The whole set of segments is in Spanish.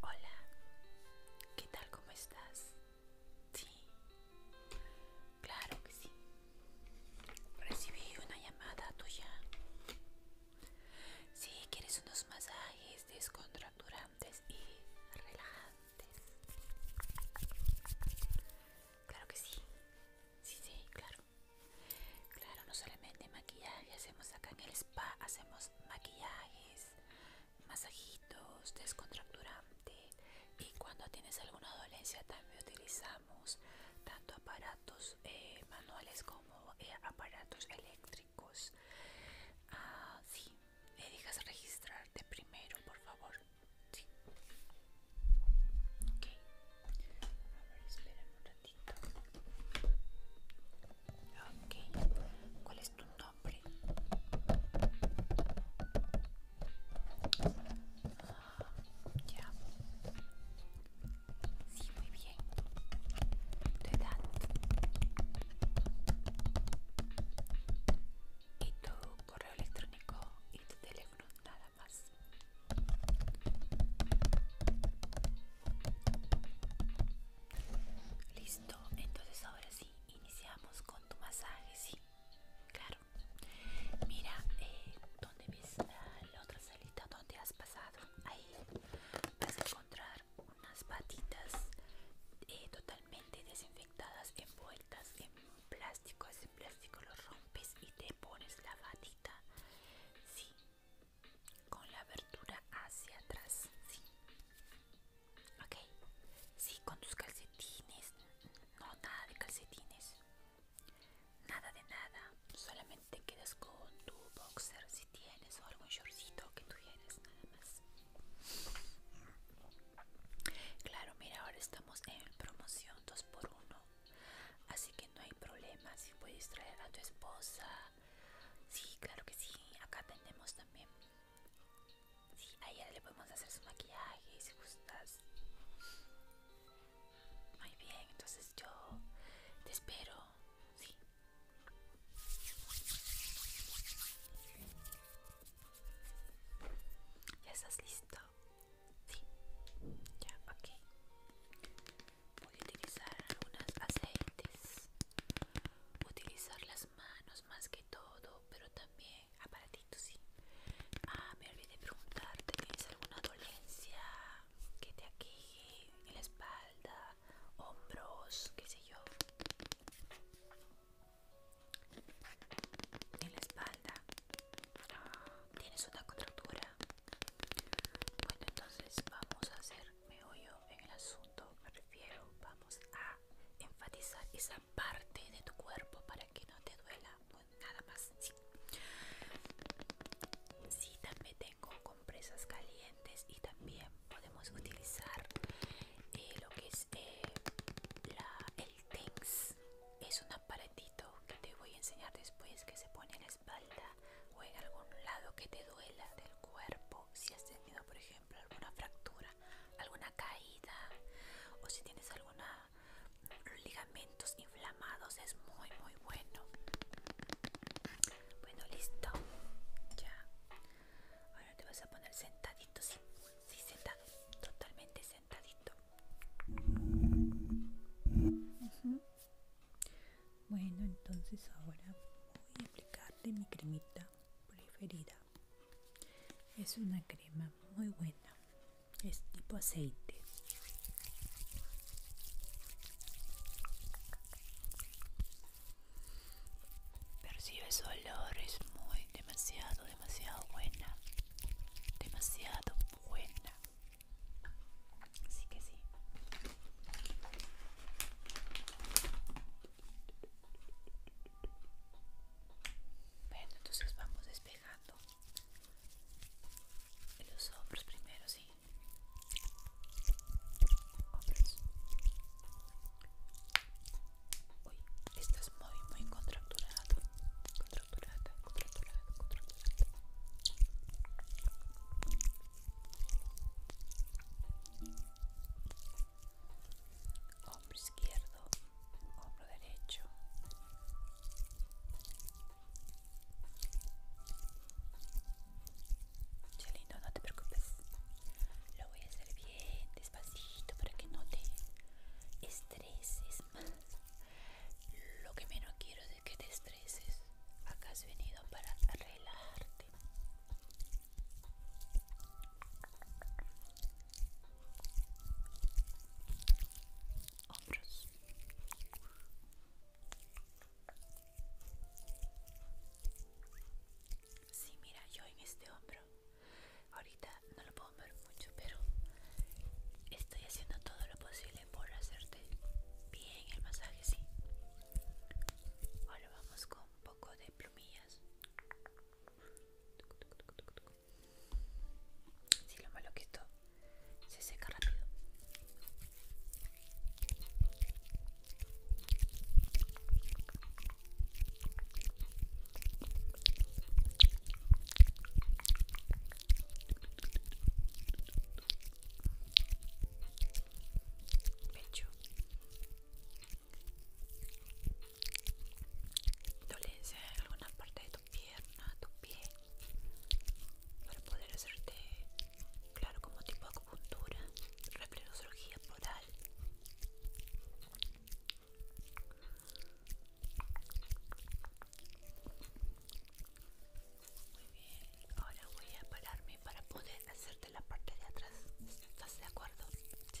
Hola, ¿qué tal? ¿Cómo estás? Sí, claro que sí. Recibí una llamada tuya. Sí, quieres unos masajes descontracturantes y relajantes. Claro que sí. Sí, sí, claro. Claro, no solamente maquillaje hacemos acá en el spa, hacemos maquillajes, masajitos, descontracturante. Y cuando tienes alguna dolencia también utilizamos tanto aparatos eh, manuales como eh, aparatos eléctricos. Ah, sí, dejas registrarte primero, por favor. Sí. A ver, ¿cuál es tu nombre? ya. Sí, muy bien. Tu edad. Y tu correo electrónico y tu teléfono, nada más. Listo, entonces ahora sí, iniciamos con tu masaje, sí, claro. Mira, eh, dónde donde ves la, otra salita donde has pasado, ahí vas a encontrar unas patitas eh, totalmente desinfectadas, envueltas en plástico, ese plástico lo rompes y te pones la patita, Sí, con la abertura hacia atrás, sí. Ok, sí, con tus calcetines, no, nada de calcetines, nada de nada, solamente quedas con tu boxer si tienes o algún shortcito que tienes nada más. Claro, mira, ahora estamos en promoción 2x1, así que no hay problema si puedes traer a tu esposa Sí, claro que sí. Acá tenemos también. Sí, a ella le podemos hacer su maquillaje si gustas. Muy bien, entonces yo te espero. Sí. ¿Ya estás listo? Sí. Ya, ok voy a utilizar algunas aceites utilizar las manos más que todo pero también aparatitos sí ah me olvidé preguntarte tienes alguna dolencia que te aqueje en la espalda hombros qué sé yo en la espalda ah, tienes una contractura bueno, entonces vamos a hacer meollo en el asunto, me refiero, vamos a enfatizar esa parte de tu cuerpo para que no te duela, pues, nada más, sí. también tengo compresas calientes y también podemos utilizar eh, lo que es eh, el TENS, es un aparatito que te voy a enseñar después que se pone en la espalda o en algún lado que te duela del cuerpo, si has tenido por ejemplo alguna fractura, alguna caída o si tienes alguna mm, ligamentos inflamados es muy muy bueno. Bueno, listo. Ya. Ahora te vas a poner sentadito, si sentado, totalmente sentadito. Bueno, entonces ahora voy a aplicarle mi cremita preferida. Es una crema muy buena. Es tipo aceite. Percibes olor, es muy demasiado, demasiado buena. Demasiado buena. Así que sí. Bueno, entonces vamos despejando los hombros primero, sí. Hombros. Uy, estás muy, muy contracturado. Contracturado, contracturada, contracturada hombro izquierdo, hombro derecho. Che lindo, no te preocupes. Lo voy a hacer bien despacito para que no te estreses más. Lo que menos quiero es que te estreses. Acá has venido para relajarte. Hombros. Sí, mira, yo en este hombro. Ahorita no lo puedo ver mucho, pero estoy haciendo todo lo posible por hacerte bien el masaje, sí. Ahora vamos con un poco de plumillas. Si lo malo que esto se seca rápido pecho, dolencia en alguna parte de tu pierna, tu pie, para poder hacerte, claro, como tipo de acupuntura, replenosurgía poral. Muy bien, ahora voy a pararme para poder hacerte la parte de atrás. ¿Estás de acuerdo? Sí.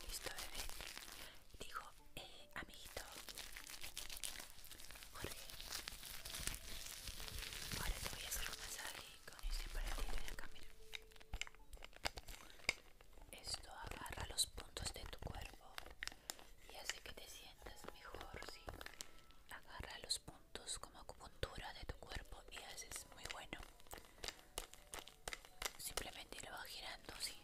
Listo, bebé. Digo, eh, amiguito. Jorge. Ahora te voy a hacer un masaje con este para de acá, mira. Esto agarra los puntos de tu cuerpo y hace que te sientas mejor, ¿sí? Agarra los puntos como acupuntura de tu cuerpo y es muy bueno. Simplemente lo vas girando, sí.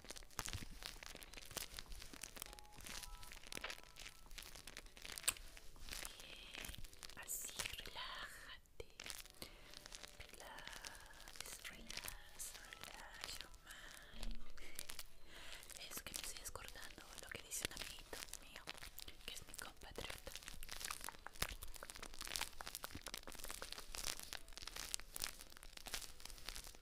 Bien, así relájate. Relájate Relájate Es que me estoy acordando lo que dice un amiguito mío, que es mi compatriota.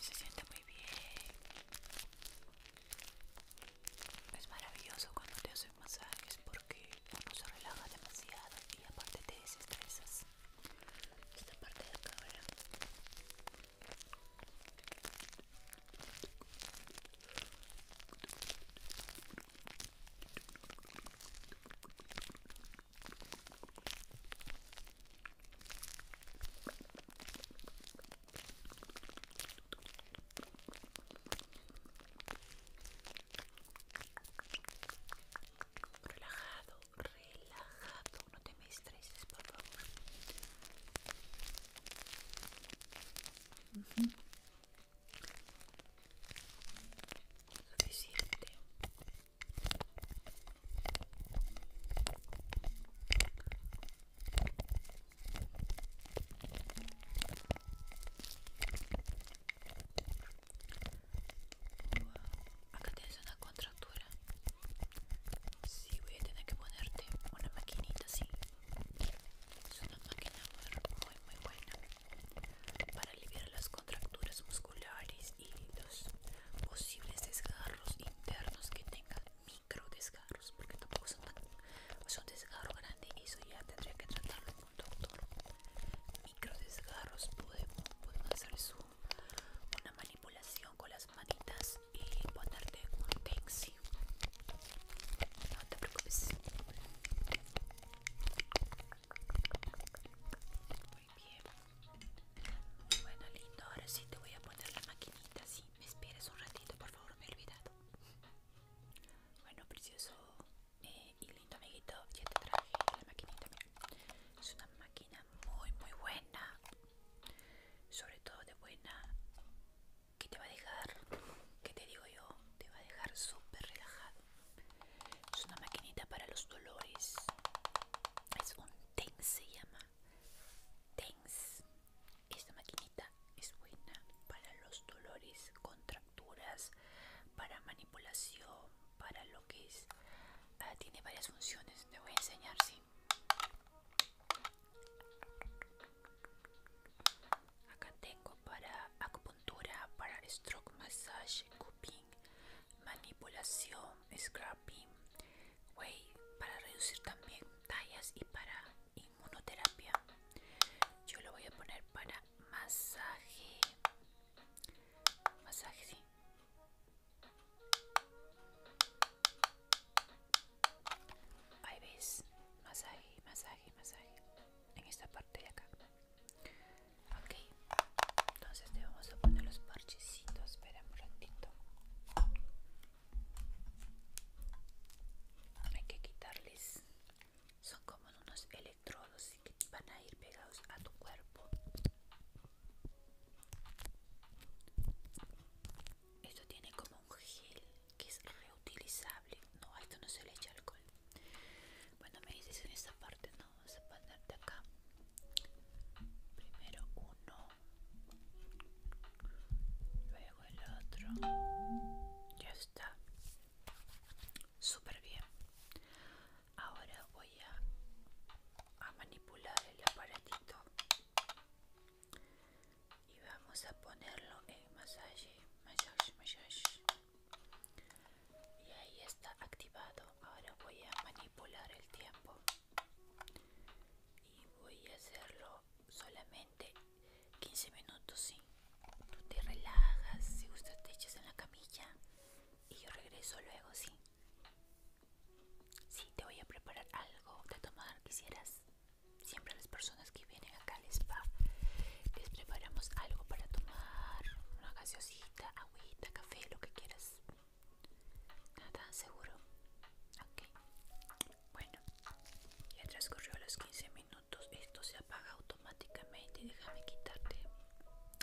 Se siente muy bien. Es maravilloso cuando te hacen masajes porque uno se relaja demasiado y aparte te desestresas. Esta parte de acá, ¿verdad? Relajado, relajado, no te me estreses, por favor. Acá una contractura. Sí, voy a tener que ponerte una maquinita sí es una máquina muy muy buena para aliviar las contracturas musculares y los posibles desgarros internos que tengan micro desgarros porque tampoco son tan un desgarro grande eso ya tendría que tratarlo con un doctor micro desgarros podemos, hacer una manipulación con las maquitas manitas y ponerte un taxi. No te preocupes. Muy bien. Bueno, lindo. Ahora sí te voy a poner la maquinita. Sí, me esperas un ratito, por favor. Me he olvidado. Bueno, precioso eh, y lindo amiguito. Ya te traje la maquinita. Es una máquina muy, muy buena. Sobre todo de buena que te va a dejar, que te digo yo, te va a dejar súper relajado. Es una maquinita para los dolores. Es un TENS, se llama. TENS. Esta maquinita es buena para los dolores, contracturas, para manipulación, para lo que es. Ah, tiene varias funciones. Te voy a enseñar, sí. Acá tengo para acupuntura, para stroke massage, cupping, manipulación, scrubbing, way, para reducir también tallas y para inmunoterapia. Yo lo voy a poner para masaje. Masaje, sí. Ahí ves, masaje, masaje, masaje. En esta parte de acá. Ok. Entonces te vamos a poner los parchecitos. Espera un ratito. Hay que quitarles. Son como unos electrodos que van a ir pegados a tu cuerpo. Esto tiene como un gel que es reutilizable. No, a esto no se le echa alcohol. Bueno, me dices en esta parte, ¿no? Vamos a de acá. Primero uno. Luego el otro. Ya está. Súper bien. Ahora voy a manipular el aparatito y vamos a ponerlo en masaje, Y ahí está activado. Ahora voy a manipular el tiempo y voy a hacerlo solamente 15 minutos. ¿sí? Tú te relajas, si gustas te echas en la camilla y yo regreso luego, ¿sí? si te voy a preparar algo de tomar. Quisieras, siempre las personas que vienen acá al spa, les preparamos algo para tomar. Una gaseosita, agüita, café, lo que quieras. Nada, tan seguro. Ok. Bueno, ya transcurrió los 15 minutos. Esto se apaga automáticamente. Déjame quitarte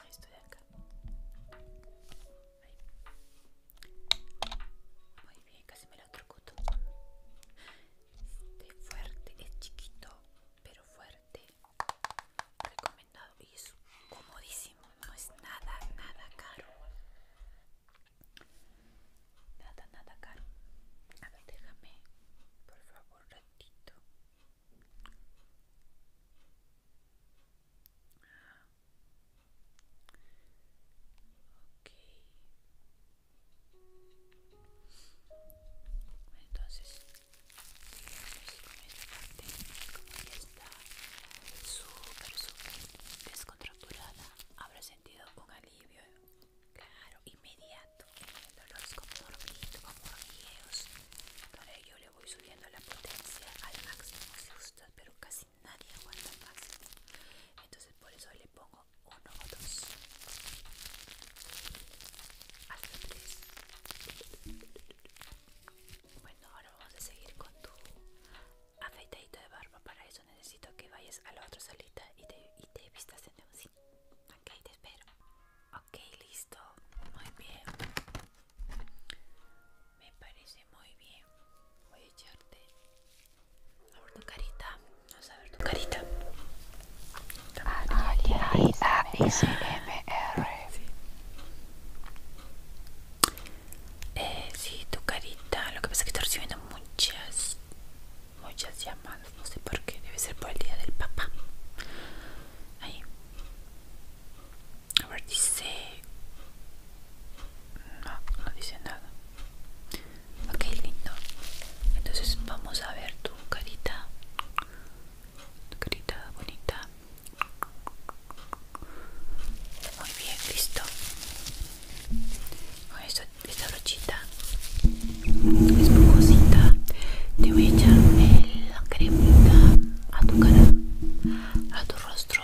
esto de acá. Muy bien, casi me lo truco es este, fuerte, es chiquito, pero fuerte. Recomendado y es comodísimo, no es nada, nada caro. Nada, nada caro. A ver, déjame, por favor, ratito. Entonces, con esta parte, como ya está súper, súper descontracturada, habrá sentido un alivio, claro, inmediato en el dolor, como hormiguitos, como hormigueos. Por ello le voy subiendo la potencia al máximo, si usted pero casi nadie aguanta más entonces por eso le pongo uno o dos hasta tres bueno ahora vamos a seguir con tu afeitadito de barba para eso necesito que vayas a la otra salita y te, y te vistas en un sí ok te espero ok listo muy bien me parece muy bien. Voy a echarte. A ver tu carita. Vamos a ver tu carita. A, D, A, I, M, R. Sí. Eh, tu carita. Lo que pasa es que estoy recibiendo muchas, muchas llamadas. No sé por qué. Debe ser por el día del papá. Ahí. A ver, dice... No, no dice nada. Ok, lindo. Entonces vamos a ver tu carita. Tu carita bonita. Muy bien, listo. Con esta, brochita. Es esponjosita te voy a echar la cremita a tu cara, a tu rostro.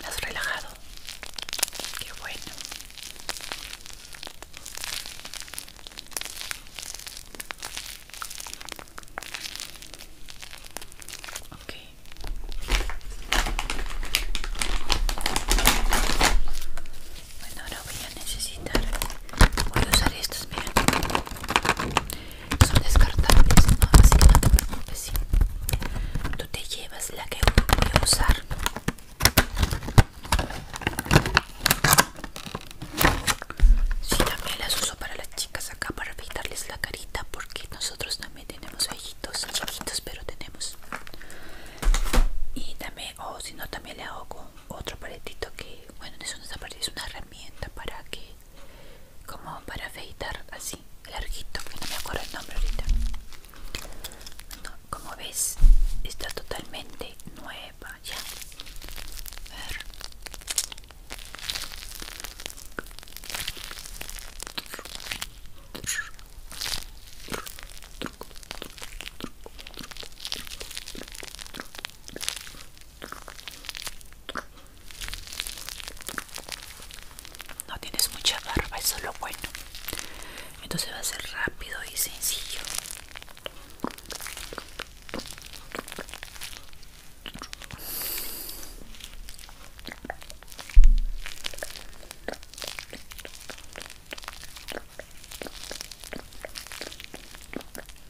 ¿Lo has relajado? Qué bueno. Bueno, ahora voy a necesitar... Voy a usar estos, miren son descartables, ¿no? así que no te preocupes. Tú te llevas la que voy a usar. si también las uso para las chicas acá para pintarles la carita porque nosotros también tenemos ojitos chiquitos, pero tenemos. Y también, o si no, también le hago con otro paletito que, bueno, eso no es una es una herramienta para que como para afeitar así larguito que no me acuerdo el nombre ahorita como ves está totalmente nueva ya no tienes mucha barba, eso es lo bueno. Entonces va a ser rápido y sencillo.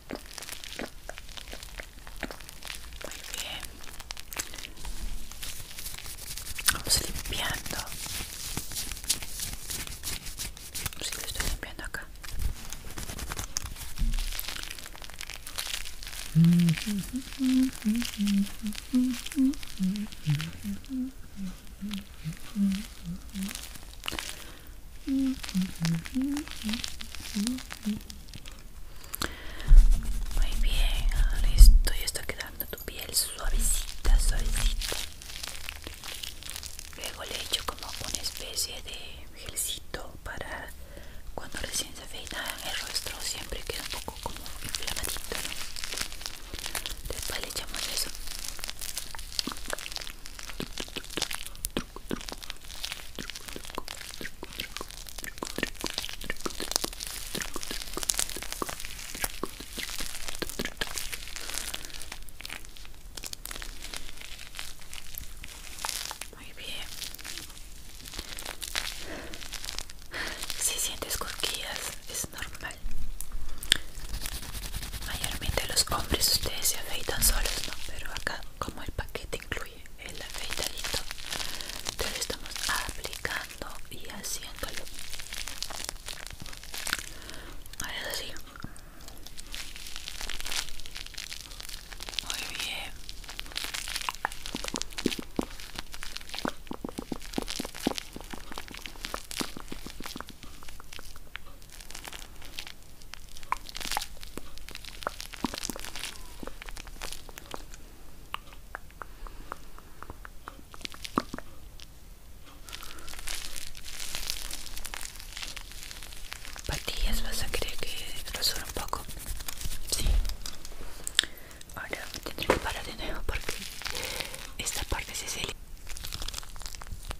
Muy bien. Vamos limpiando. Si sí, estoy limpiando acá. Muy bien, listo. Y está quedando tu piel suavecita, suavecita. Luego le echo como una especie de gelcito para cuando recién se afeitan el rostro siempre queda un poco como inflamadito, Después le echamos eso muy bien. Si sientes cosquillas, es normal. Mayormente los hombres ustedes se afeitan solos, ¿no? Pero acá como el paquete incluye el afeitadito te lo estamos aplicando y haciéndolo ahora sí muy bien Patillas, vas a querer que rasure un poco. Sí. Ahora tendré que parar de nuevo porque esta parte se sale.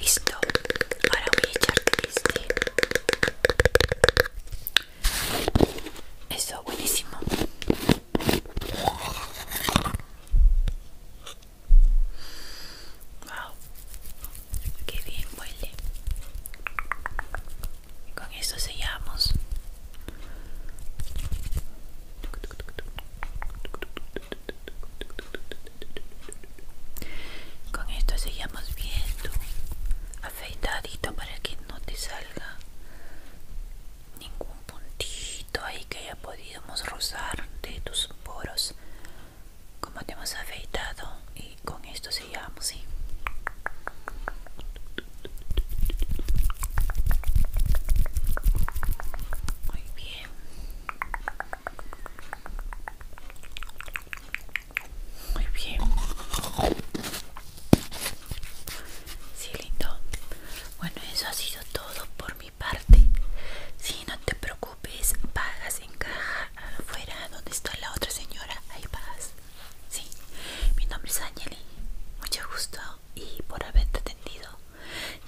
Listo, ahora voy a echar triste eso, buenísimo. Wow, qué bien huele. Con esto sellamos. Con esto sellamos bien tu afeitadito para que no te salga ningún puntito ahí que haya podíamos rozar de tus poros como te hemos afeitado y con esto sellamos muy bien muy bien Sí, lindo. Bueno, eso ha sido todo por mi parte. sí, no te preocupes, pagas en caja afuera donde está la otra señora. Ahí pagas. Sí, mi nombre es Angeli. Mucho gusto y por haberte atendido.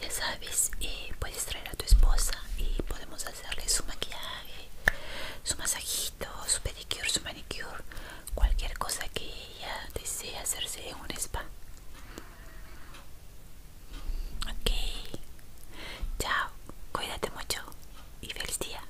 Ya sabes, eh, puedes traer a tu esposa y podemos hacerle su maquillaje, su masajito, su pedicure, su manicure cualquier cosa que ella desee hacerse en un spa. Ok, chao, cuídate mucho y feliz día.